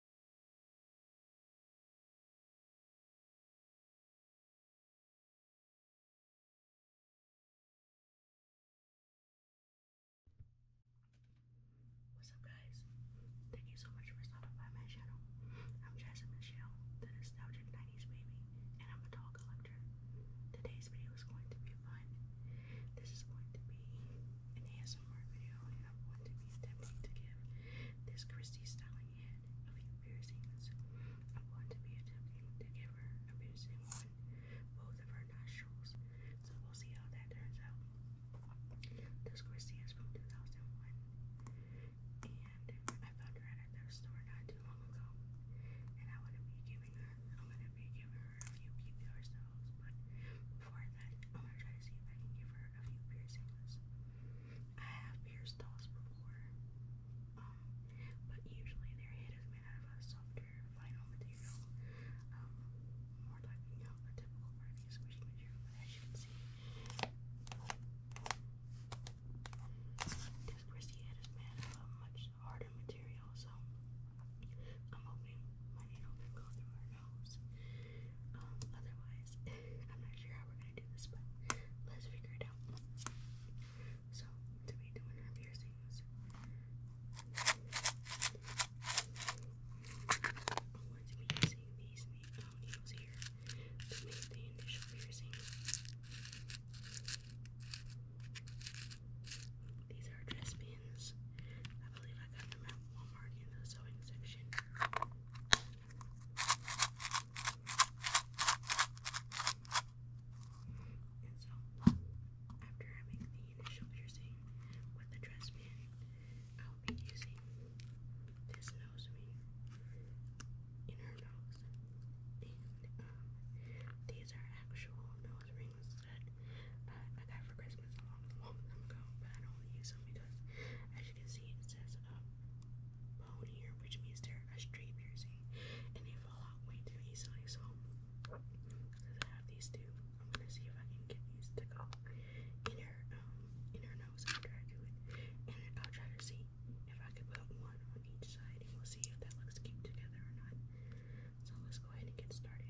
What's up, guys? Thank you so much for stopping by my channel. I'm Jasmine Michelle, the nostalgic 90s baby, and I'm a doll collector. Today's video is going to be fun. This is going to be an ASMR video I have one to be attempting to give this Christie styling head a few piercings. I'm going to be attempting to give her a piercing on both of her nostrils. So we'll see how that turns out. This Christie is from 2001 and I found her at a store not too long ago. And I wouldn't be giving her I'm gonna be giving her a few PPR styles, but before that, I'm gonna try to see if I can give her a few piercings. I have pierced dolls before, um, but usually their um, head is made out of a softer vinyl material, more like you know a typical squishy material. But as you can see, this Christie head is made out of a much harder material, so I'm hoping my needle can go through her. Um, otherwise, I'm not sure how we're gonna do this, but let's figure it out. So, to be doing our piercings, I'm going these needles here to make the initial piercing. These are dress pins. I believe I got them at Walmart in the sewing section. And so, after having the initial piercing with the dress pin, I'll be using this nose ring in nose. And um, these are actual nose rings that uh, I got for Christmas guys a long, long time ago, but I don't use them because, as you can see, it says a uh, bone here, which means they're a straight piercing, and they fall out way too easily. So, since I have these two, I'm gonna see if I can get these to go in her, um, nose after I do it, and I'll try to see if I can put one on each side, and we'll see if that looks cute together or not. So let's go ahead and get started.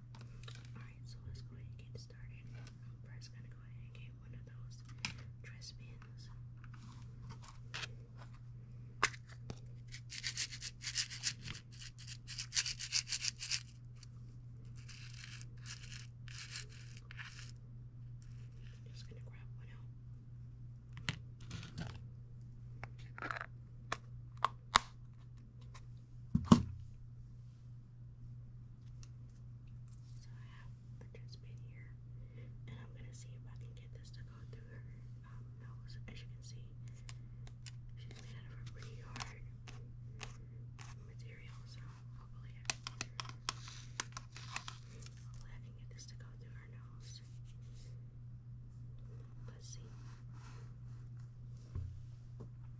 Alright, so let's go ahead and get started. I'm first gonna go ahead and get one of those dress pins. just gonna grab one out. So I have the toothpick here, and I'm gonna see if I can get this to go through her nose. As you can see, she's made of a pretty hard material, so hopefully I can get this to go through her nose. Let's see.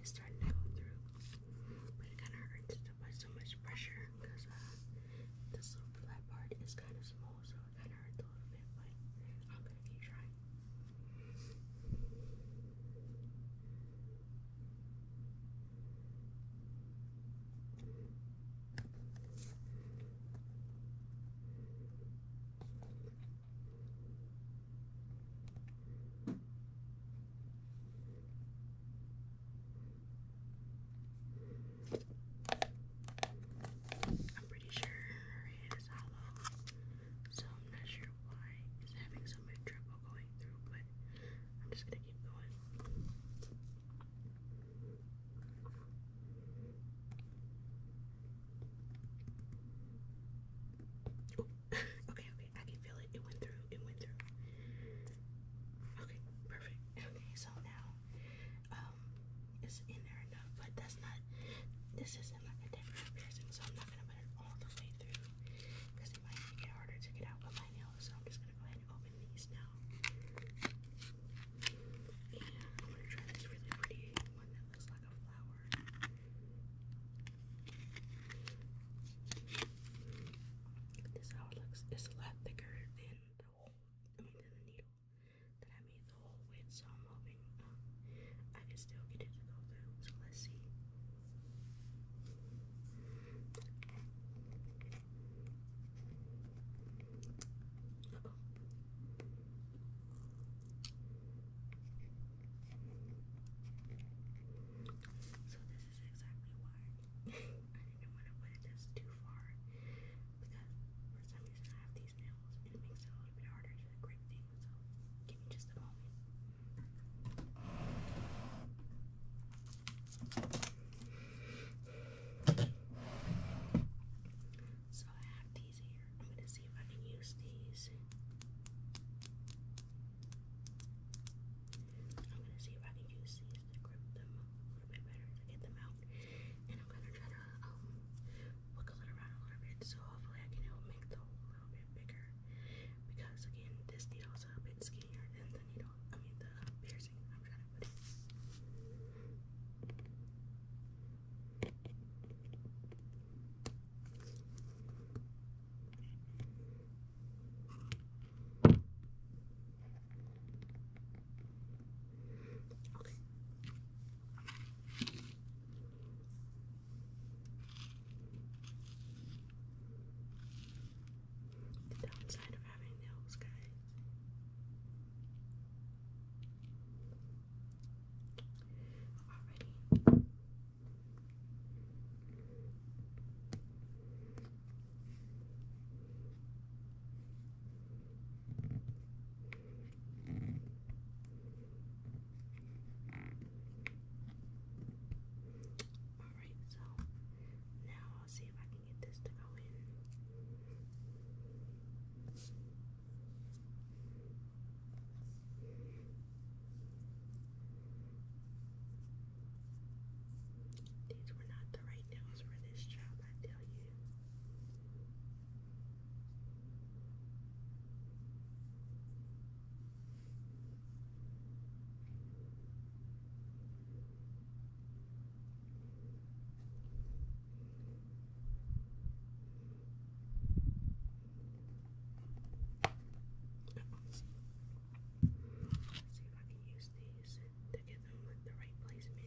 it's starting to go through. it kind of hurts to put so much pressure because uh, this little flat part is kind of small, so it kind of hurts a little bit. But I'm gonna keep trying. I'm pretty sure her hand hollow, so I'm not sure why it's having so much trouble going through, but I'm just gonna keep going okay, okay, I can feel it. It went through. It went through. Okay, perfect. Okay, so now, um, it's in there enough, but that's not. This isn't a different piercing, so I'm not gonna put it all the way through because it might make harder to get out with my nails. So I'm just gonna go ahead and open these now. And I'm gonna try this really pretty one that looks like like a flower. This is a lot thicker than the whole, I the needle that I made the whole with. So I'm hoping um, I can still get it to go through. So let's see. So this is exactly why I didn't want to put this too far because for some reason I have these nails and it makes it a little bit harder to grip things. So give me just a moment. So I have these here. I'm gonna see if I can use these. I'm gonna see if I can use these to grip them a little bit better to get them out. And I'm gonna try to wiggle um, it around a little bit so hopefully I can help make the hole a little bit bigger. Because again, this needle's a bit skinnier than the needle, I mean the piercing I'm trying to put in. Okay. The downside of having nails, guys. Alrighty. Alright, so now I'll see if I can get this to go in. These were not the right nails for this job, I tell you. Let's see if I can use these to get them with the right placement.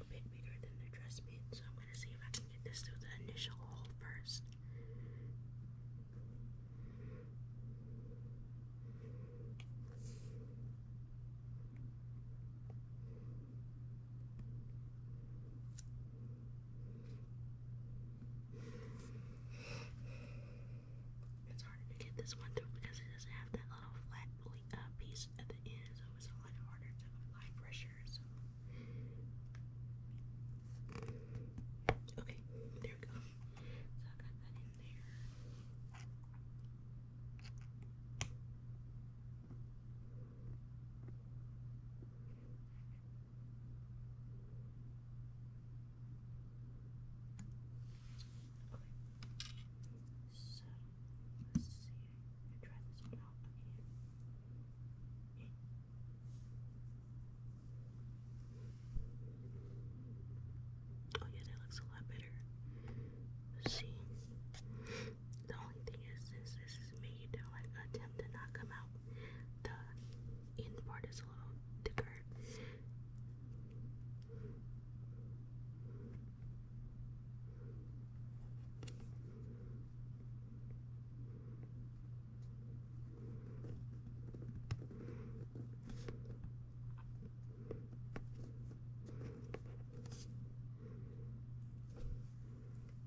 a bit bigger than the dress pin, so I'm gonna see if I can get this through the initial hole first. It's harder to get this one through because it doesn't have that little flat uh, piece lunch at the end, so it was a lot harder to apply pressure. So, okay, there we go. So, I got that in there. Okay. So Let's see. Let try this one out again. Okay. Oh yeah, that looks a lot better. Let's see. The only thing is since this is made to like attempt to not come out, the end part is a little thicker.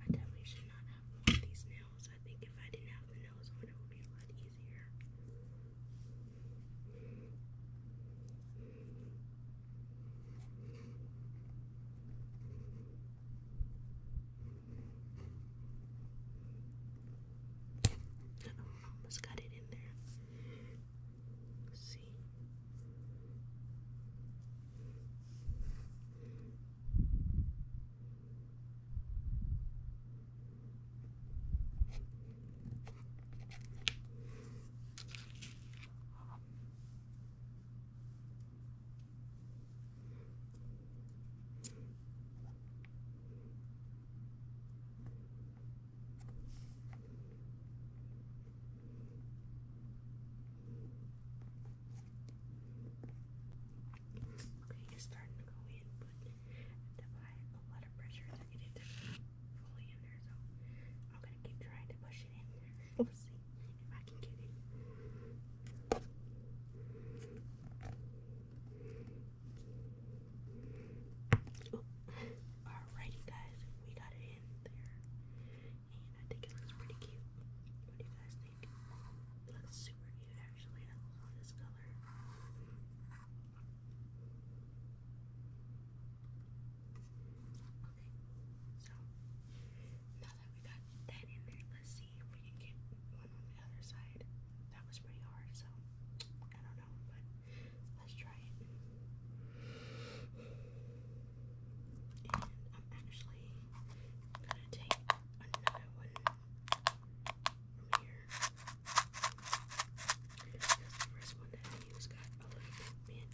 I definitely should not have worn these nails. I think if I didn't have the nails on, it would be a lot easier. Almost got it in there. see. Okay, you're starting to go in, but to apply a lot of pressure to get it to fully in there, so I'm gonna keep trying to push it in there. Let's see oh, guys, we got it in there, and I think it looks pretty cute. What do you guys think? looks super cute, actually. I love this color. Okay, so now that we got that in there, let's see if we can get one on the other side. That was pretty hard, so I don't know, but let's try it. And I'm actually gonna take another one from here. the first one that I used got a little bit bent.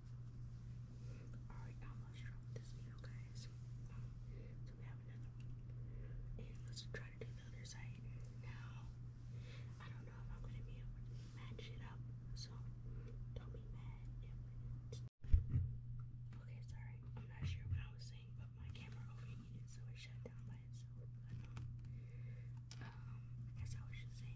Alright, I almost dropped this video, guys. So we have another one. And let's try to do the other side. Now, I don't know if I'm going to be able to match it up. So don't be mad Okay, sorry. I'm not sure what I was saying, but my camera overheated, so it shut down by itself. But, um, um, as I was saying,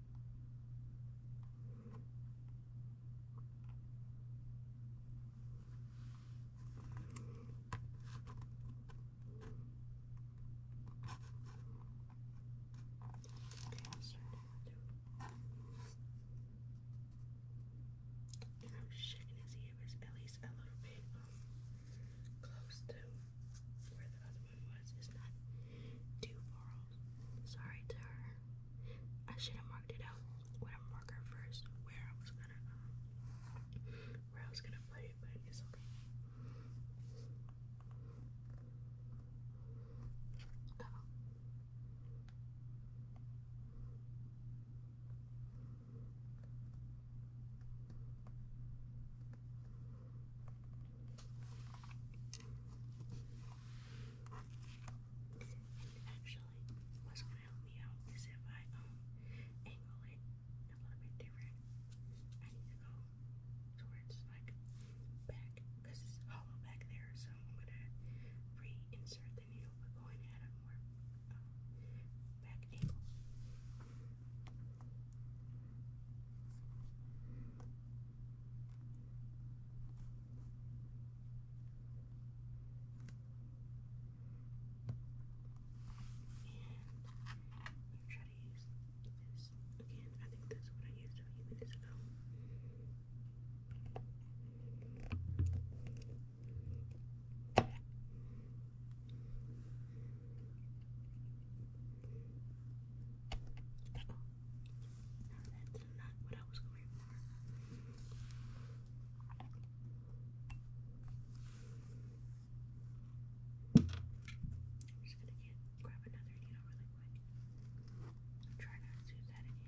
I'm starting to and I'm shaking his ear, but at least a little bit um, close to where the other was is not too far Sorry to her. I should have marked it out with a marker first where I was gonna um, where I was gonna put but it's okay. Actually, what's gonna help me out is if I um, angle it a little bit different. I need to go towards like back because it's hollow back there, so I'm gonna reinsert the needle but going at a more um, back angle. And try to use this again. I think that's what I used a few minutes ago. Oh, now I am just gonna get grab another needle really quick. try not to do that again.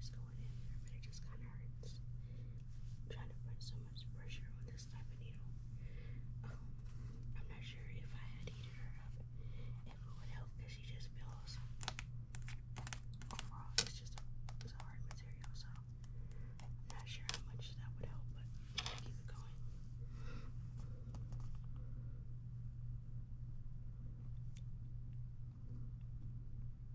It's going in there, but it just kind of hurts. trying to find some pressure on this type of needle. Um, I'm not sure if I had heated her up, if it would help because she just feels overall it's just a, hard material, so I'm not sure how much that would help, but keep it going.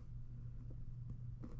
this tool. That does not help.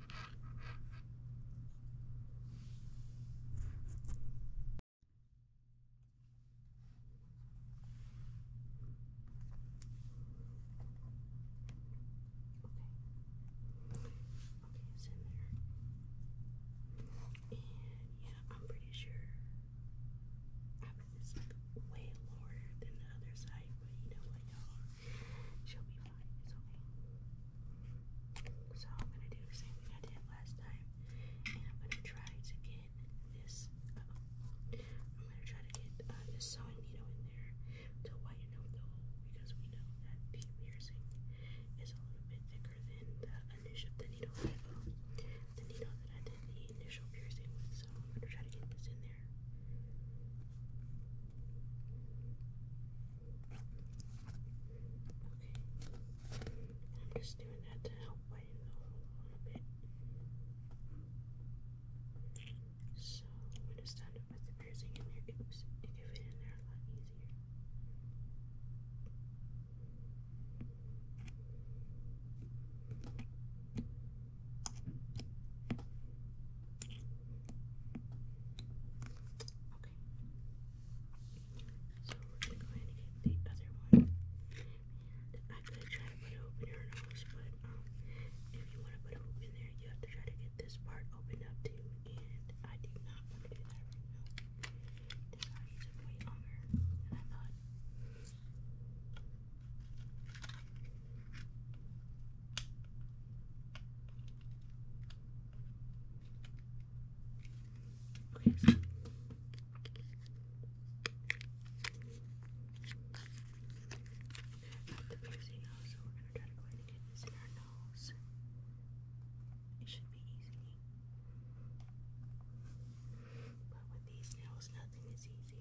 it's in there. And yeah, I'm pretty sure I mean, it's way lower than the other side, but you know what, y'all? She'll be fine. It's okay. So I'm gonna do the same thing I did last time, and I'm gonna try to get this. Uh -oh. I'm gonna try to get uh, this sewing needle in there to whiten out the hole because we know that the piercing is a little bit thicker than the initial the needle that um, the needle that I did the initial piercing with. So I'm gonna try to get this in there. Okay, I'm just doing that to help lighten the hole a little bit. So when it's done with the piercing in there, oops, it can fit in there a lot easier. Okay. So we're going to get the other one. And I could try to put a hoop in her nose, but if you want to put a hoop there, you have to try to get this part opened up too. And I do not want to do that This already took way longer I thought. Okay, so. At the piercing so we're gonna try to go ahead and get our nose. It should be easy. But with these nails, nothing is easy.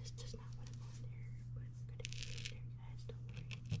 This does not want to go in there, but i going to get in there, guys. Don't worry.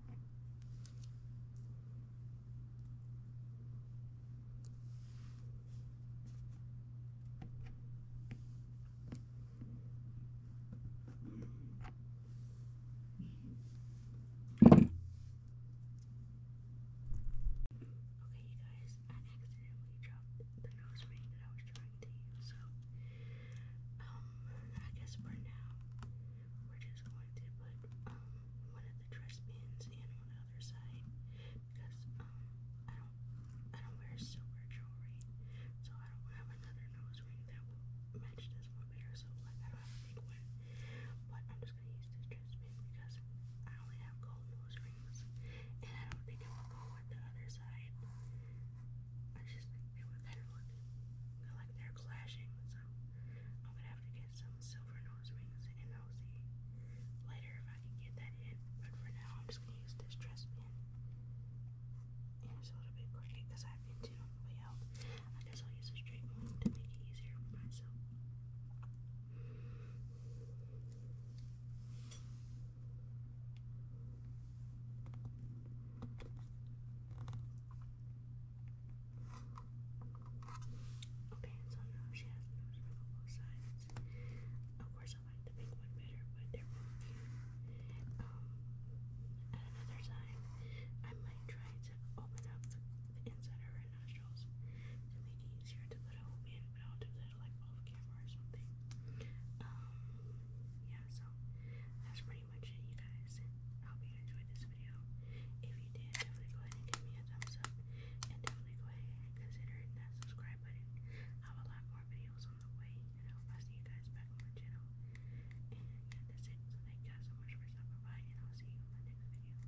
Okay, you guys, I accidentally dropped the nose ring that I was trying to use, so um, I guess for now, we're just going to put um, one of the dress pins in on the other side because um, I don't I don't wear silver jewelry, so I don't have another nose ring that will match this one better. So like I have a big one, but I'm just gonna use this dress pin because I only have gold nose rings, and I don't think it will go with the other side. I just think they would kind of look like they're clashing, so I would have to get some silver nose rings and i later if I can get that in. But for now, I'm just gonna use this dress pin. it's a little bit crooked I've been to on the way I guess I'll use a straight one to make it easier for myself. Okay, so now she has a nose ring on both sides. Of course, I like the pink one better, but they're both cute. Um, at another time, I might try to open up the, the inside of her nostrils to make it easier to put a hoop in, but I'll do that like off camera or something. Um, yeah, so that's pretty you guys. I hope you enjoyed this video. If you did, definitely go ahead and give me a thumbs up. And definitely go ahead and consider that subscribe button. I have a lot more videos on the way. And I hope see you guys back on my channel. And that's it. So thank you guys so much for stopping by. And I'll see you in my next video.